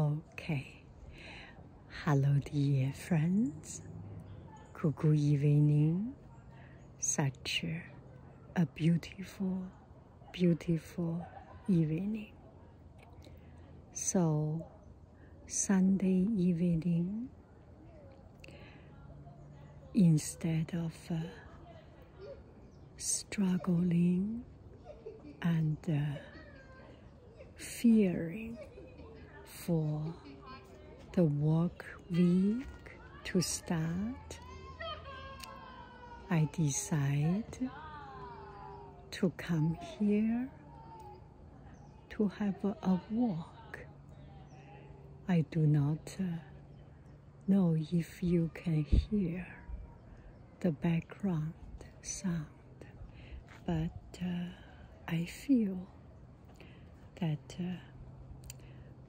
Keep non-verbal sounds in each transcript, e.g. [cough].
Okay. Hello, dear friends. Good evening. Such a beautiful, beautiful evening. So, Sunday evening, instead of uh, struggling and uh, fearing for the work week to start, I decide to come here to have a, walk. I do not uh, know if you can hear the background sound, but uh, I feel that uh,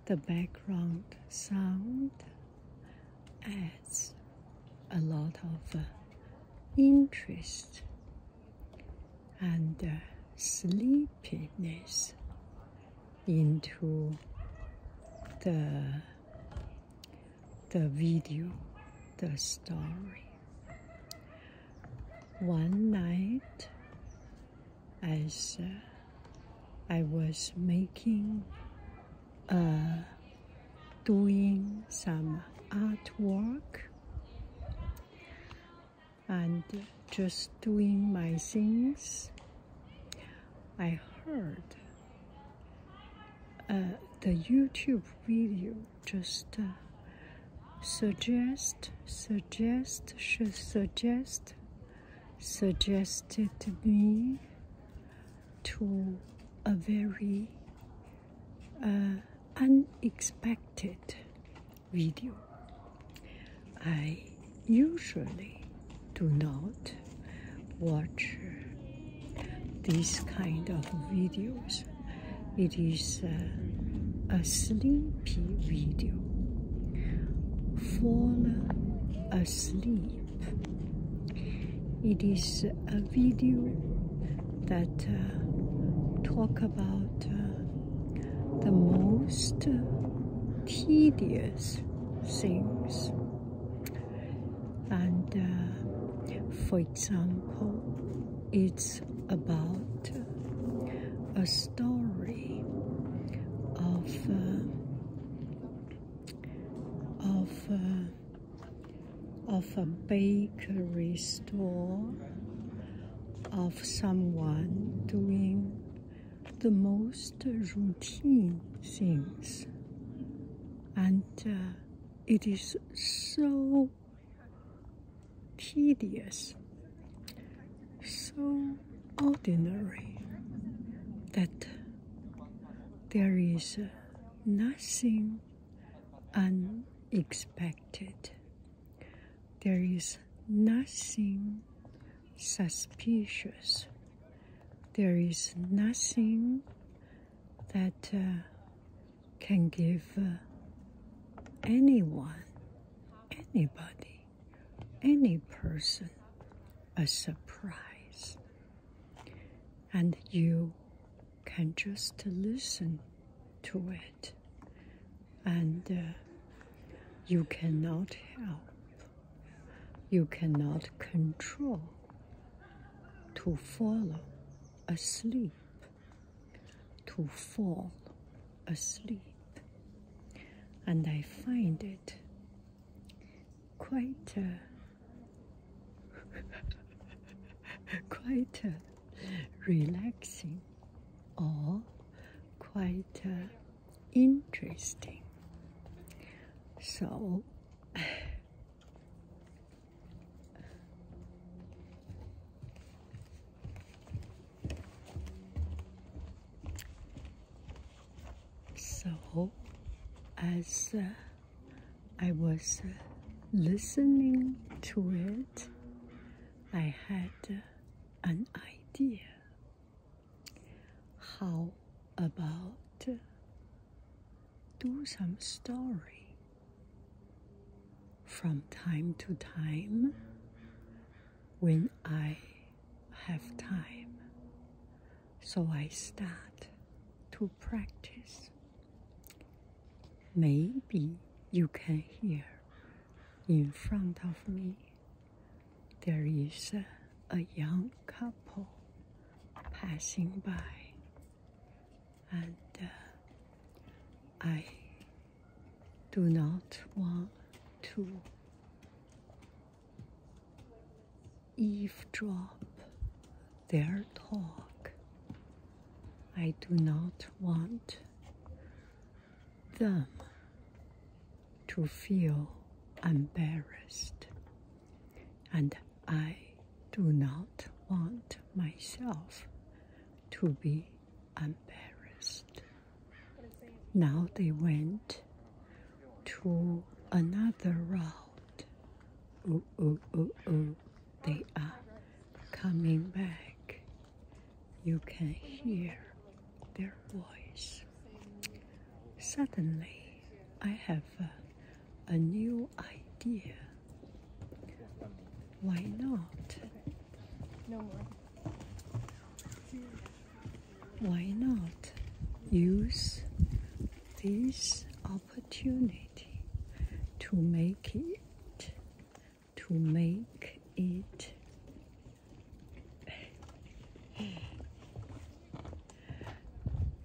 the background sound adds a lot of uh, interest and sleepiness into the the video, the story. One night, as uh, I was making, uh, doing some artwork and just doing my things, I heard uh, the YouTube video just uh, suggest, suggest, should suggest, suggested me to a very uh, unexpected video. I usually do not watch these kind of videos. It is a sleepy video. Fall asleep. It is a video that uh, talk about uh, the most tedious things and uh, for example it's about a story of uh, of uh, of a bakery store of someone doing the most routine things and it is so tedious, so ordinary that there is nothing unexpected. There is nothing suspicious. There is nothing that uh, can give uh, anyone, anybody, any person a surprise. And you can just listen to it, and uh, you cannot help, you cannot control to follow asleep, to fall asleep. And I find it quite a, [laughs] quite a relaxing or quite interesting. So so, as uh, I was listening to it, I had an idea. How about do some story from time to time when I have time. So I start to practice. Maybe you can hear in front of me there is a, young couple passing by and uh, I do not want to eavesdrop their talk. I do not want them to feel embarrassed and I do not want myself to be embarrassed. Now they went to another road. Oh, oh, oh, oh. They are coming back. You can hear their voice. Suddenly, I have a new idea. Why not? Why not use this opportunity to make it to make it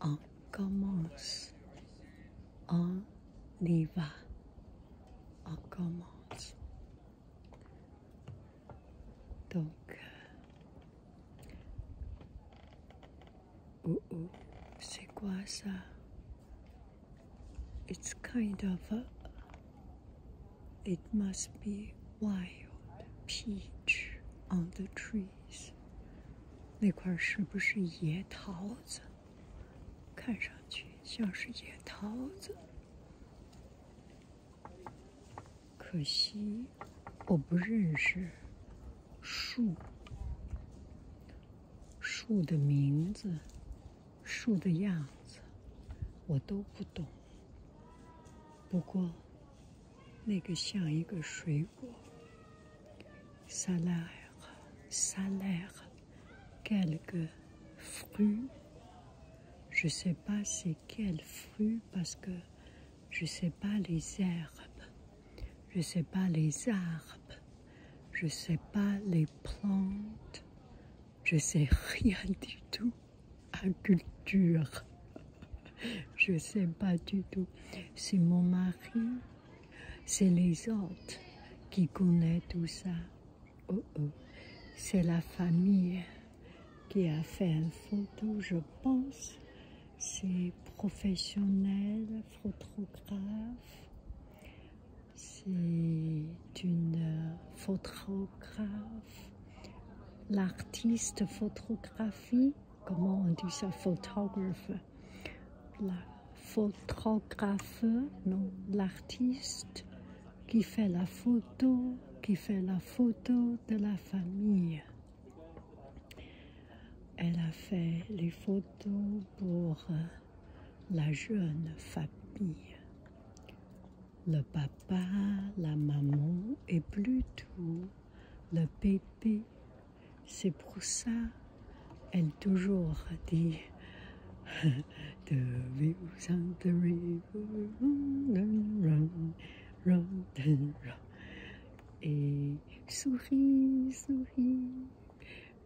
Acamos. Oliva. Acamos. Donc, oh uh, oh, uh. c'est It's kind of a, it must be Wild peach on the trees。那块是不是野桃子？看上去像是野桃子。可惜，我不认识树。树的名字、树的样子，我都不懂。不过，那个像一个水果。Salaire, salaire, quelques fruits. Je sais pas c'est quel fruit parce que je sais pas les herbes. Je sais pas les arbres. Je sais pas les plantes. Je sais rien du tout culture, [laughs] Je ne sais pas du tout. C'est mon mari, c'est les autres qui connaissent tout ça. Oh oh. C'est la famille qui a fait une photo, je pense. C'est professionnel, photographe. C'est une photographe. L'artiste photographie comment on dit ça, photographe, la photographe, non, l'artiste qui fait la photo, qui fait la photo de la famille. Elle a fait les photos pour euh, la jeune famille. Le papa, la maman et plus tout. 那 b a b c'est pour ça，elle toujours dit。d e river runs t e river and on a on and o Et sourit sourit。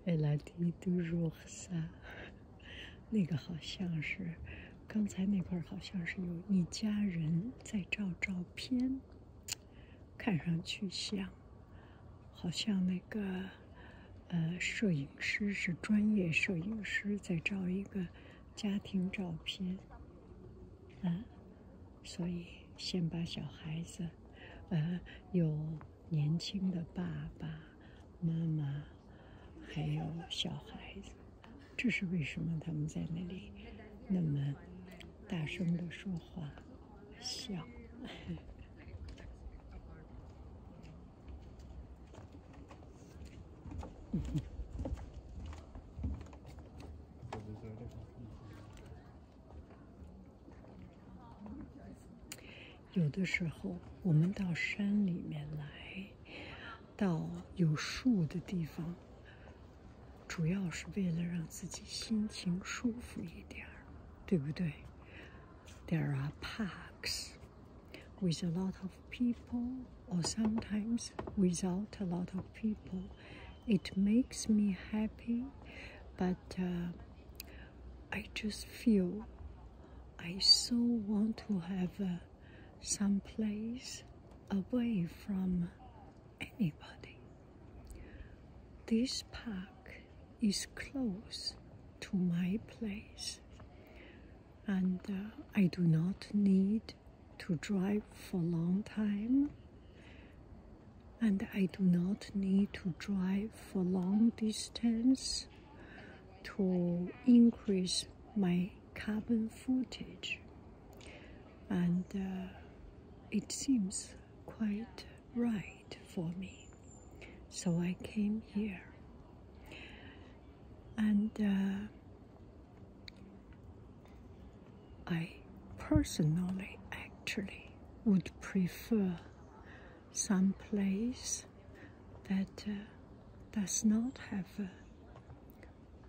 elle a dit t o u r ça。那个好像是，刚才那块好像是有一家人在照照片。看上去像，好像那个，呃，摄影师是专业摄影师在照一个家庭照片，嗯，所以先把小孩子，呃，有年轻的爸爸妈妈，还有小孩子。这是为什么？他们在那里那么大声的说话、笑。[laughs] 有的时候，我们到山里面来，到有树的地方。主要是为了让自己心情舒服一点儿，对不对？There are parks with a lot of people, or sometimes without a lot of people. It makes me happy, but uh, I just feel I so want to have uh, some place away from anybody. This park is close to my place and uh, I do not need to drive for a long time and I do not need to drive for long distance to increase my carbon footage and uh, it seems quite right for me. So I came here and uh, I personally actually would prefer some place that uh, does not have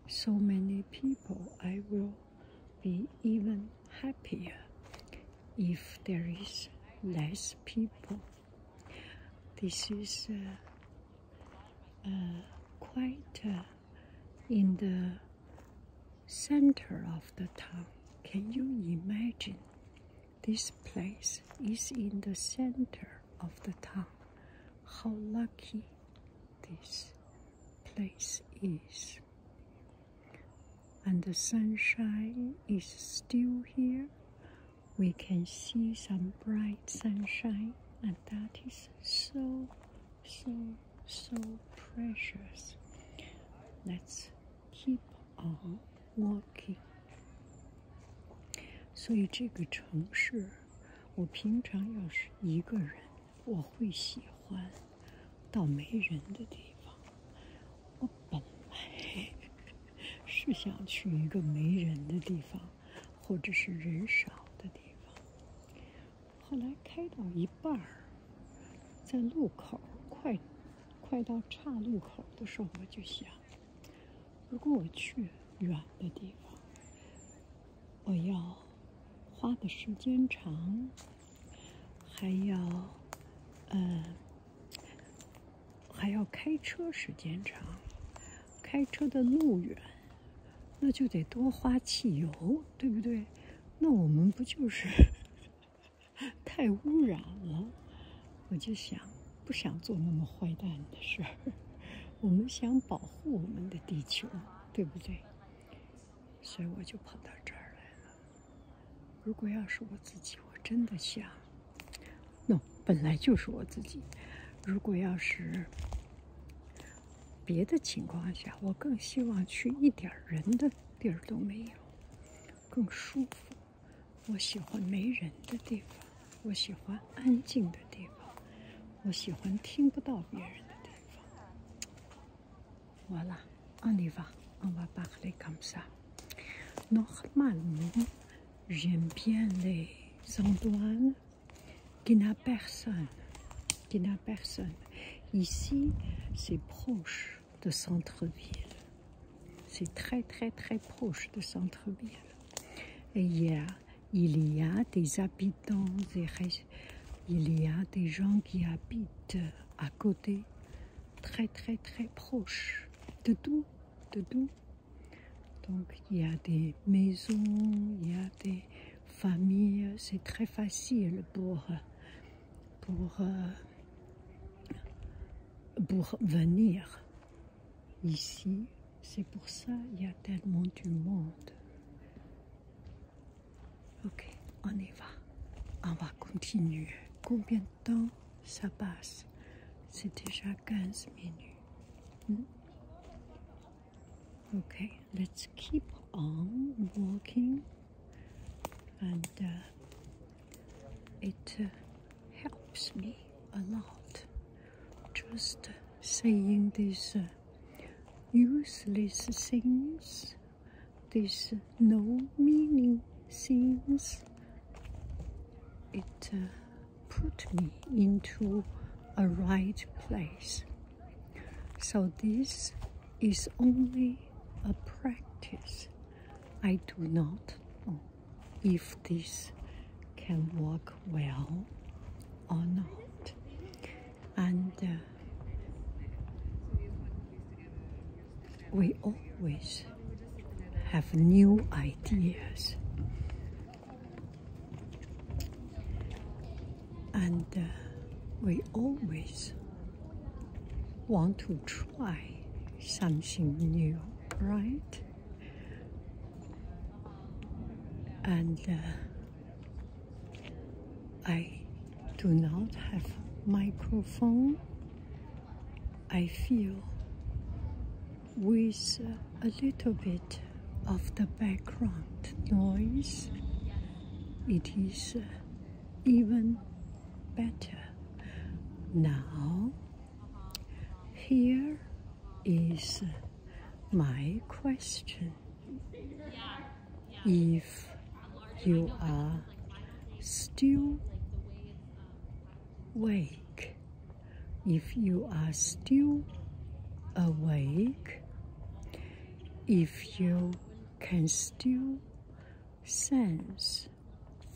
so many people. I will be even happier if there is less people. This is uh, uh, quite uh, in the center of the town. Can you imagine? This place is in the center of the town. How lucky this place is. And the sunshine is still here. We can see some bright sunshine, and that is so, so, so precious. Let's keep on walking. So, 所以这个城市，我平常要是一个人。我会喜欢到没人的地方。我本来 [laughs] 是想去一个没人的地方，或者是人少的地方。后来开到一半儿，在路口快快到岔路口的时候，我就想，如果我去远的地方。我要花的时间长，还要，呃，还要开车时间长，开车的路远，那就得多花汽油，对不对？那我们不就是 [laughs] 太污染了？我就想不想做那么坏蛋的事儿？[laughs] 我们想保护我们的地球，对不对？所以我就跑到这儿来了。如果要是我自己，我真的想，no，本来就是我自己。如果要是别的情况下，我更希望去一点人的地儿都没有，更舒服。我喜欢没人的地方，我喜欢安静的地方，我喜欢听不到别人的地方。Voilà, on y va. On va parler comme ça. Normalement, j'aime bien les endroits qui n'a personne. Qui n'a personne. Ici, c'est proche de centre-ville. C'est très, très, très proche de centre-ville. Et il y a des habitants il y a des gens qui habitent à côté, très très très proches de tout, de tout. Donc il y a des maisons, il y a des familles, c'est très facile pour, pour, euh, pour venir ici. C'est pour ça il y a tellement du monde. Ok, on y va. On va continuer. Combien de temps ça passe C'est déjà quinze minutes. Hmm? Ok, let's keep on walking. And uh, it uh, helps me a lot. Just saying these uh, useless things these no meaning things, it uh, put me into a right place. So this is only a practice. I do not know if this can work well or not and uh, we always have new ideas and uh, we always want to try something new right and uh, I do not have microphone. I feel with a little bit of the background noise, it is even better. Now, here is my question if you are still awake. If you are still awake, if you can still sense,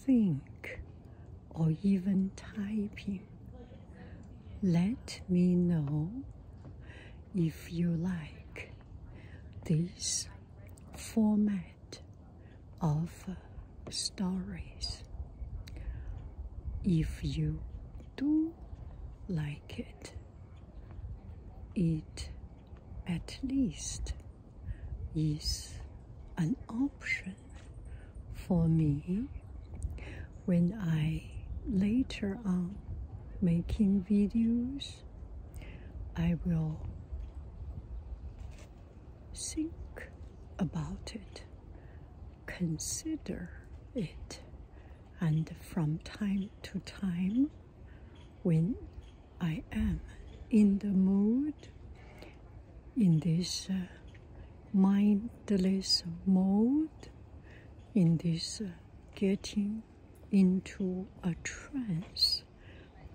think, or even typing, let me know if you like this format of stories. If you do like it, it at least is an option for me when I later on making videos I will think about it, consider it, and from time to time, when I am in the mood, in this uh, mindless mode, in this uh, getting into a trance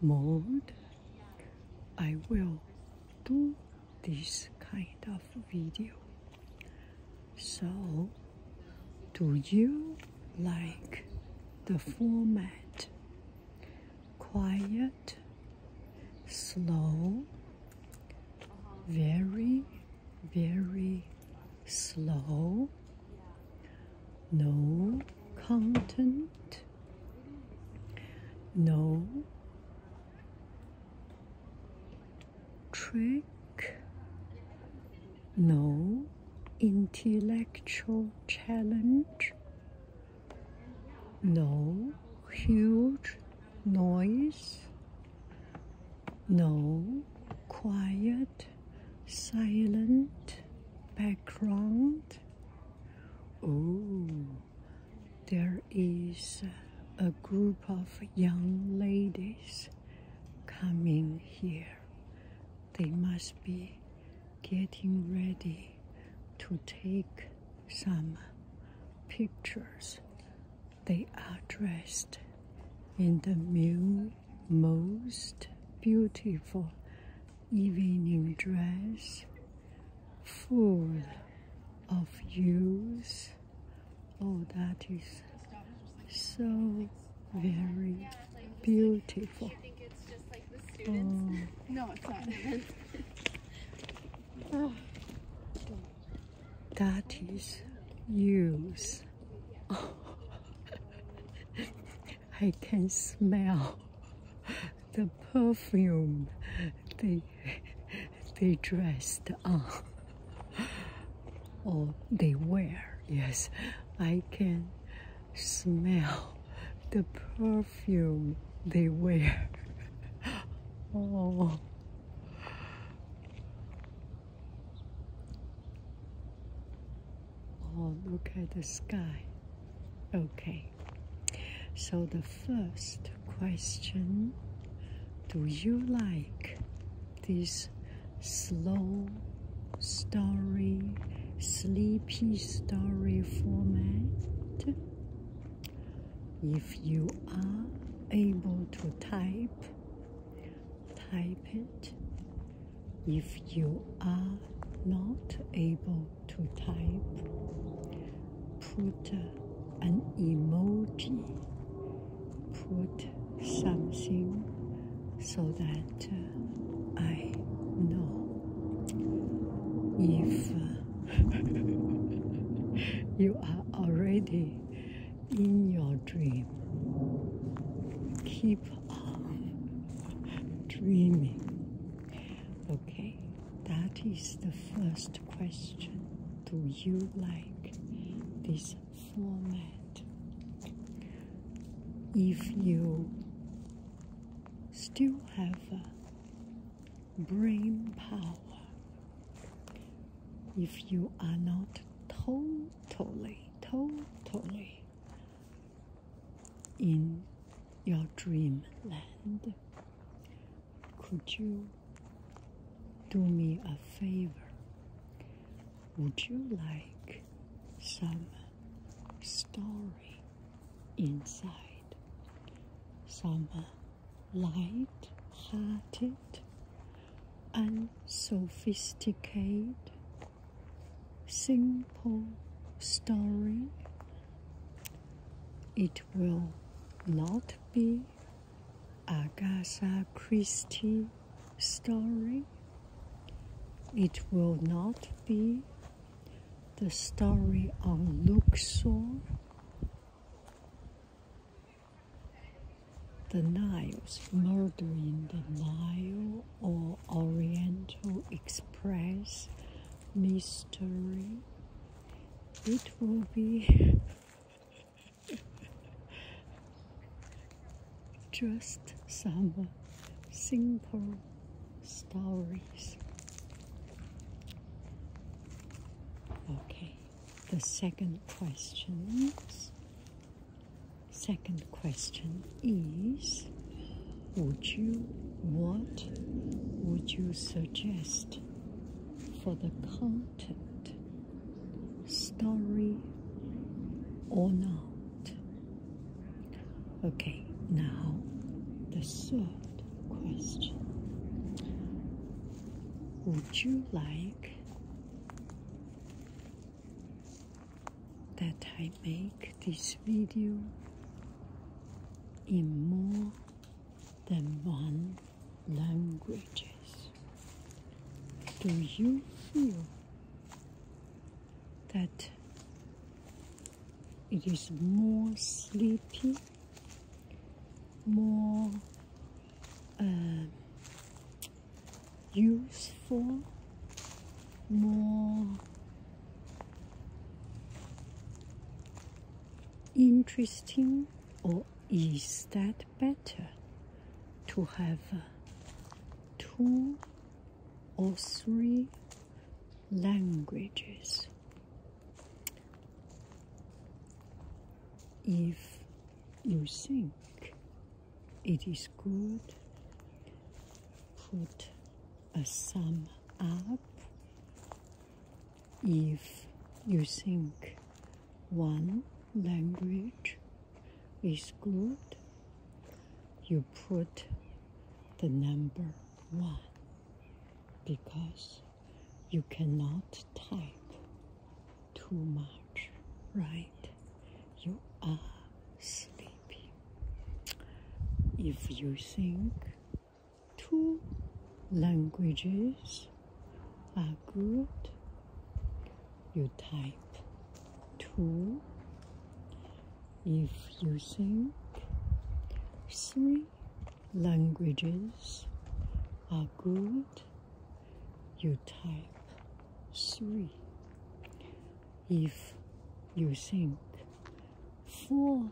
mode, I will do this kind of video. So, do you like the format? Quiet, slow, very, very slow, no content, no trick, no intellectual challenge, no huge noise, no quiet silent background. Oh, there is a group of young ladies coming here. They must be getting ready to take some pictures. They are dressed in the mule most beautiful evening dress full of use. Oh, that is so very beautiful. Oh. No, it's not. [laughs] That is use. [laughs] I can smell the perfume they they dressed on or they wear. Yes, I can smell the perfume they wear. Oh. Oh, look at the sky. Okay. So the first question, do you like this slow story, sleepy story format? If you are able to type, type it if you are not able to type, put an emoji, put something so that uh, I know. If uh, [laughs] you are already in your dream, keep alone, dreaming. Okay, that is the first question. Do you like this format? If you still have brain power, if you are not totally, totally in your dreamland. Could you do me a favor? Would you like some story inside? Some light hearted, unsophisticated simple story. It will not be Agatha Christie story. It will not be the story on Luxor. The Niles, murder in the Nile or Oriental Express mystery. It will be [laughs] just some simple stories. Okay, the second question is Second question is Would you, what would you suggest for the content, story or not? Okay, now the third question Would you like that I make this video in more than one languages. Do you feel that it is more sleepy, more uh, useful? more interesting or is that better to have two or three languages if you think it is good put a sum up if you think one language is good you put the number one because you cannot type too much right you are sleeping if you think two languages are good, you type two. If you think three languages are good, you type three if you think four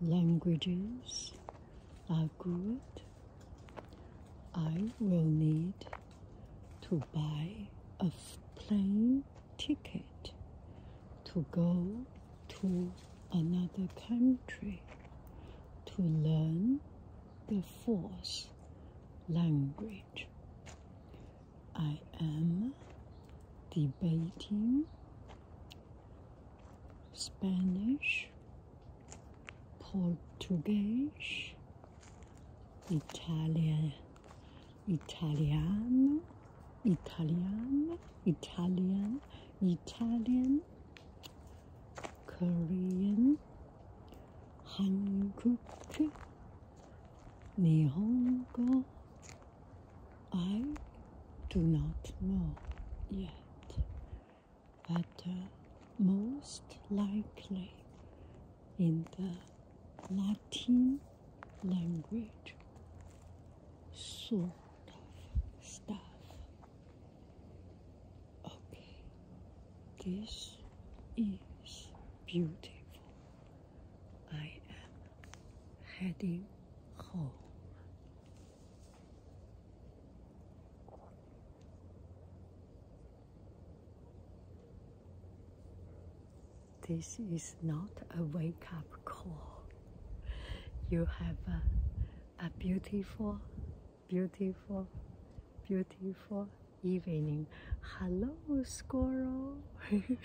languages are good, I will need to buy a plane ticket to go to another country to learn the fourth language. I am debating Spanish, Portuguese, Italian, Italiano, Italian, Italian, Italian, Korean, Hanguk, Nihongo, I do not know yet, but uh, most likely in the Latin language sort of stuff. Okay, this is beautiful. I am heading home. This is not a wake up call. You have a, a beautiful, beautiful, beautiful evening. Hello, squirrel. [laughs]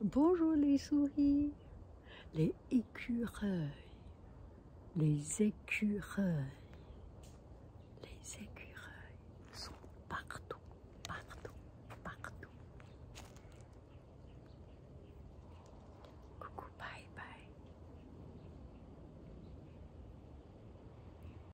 Bonjour les souris, les écureuils, les écureuils, les écureuils sont partout, partout, partout. Coucou, bye bye.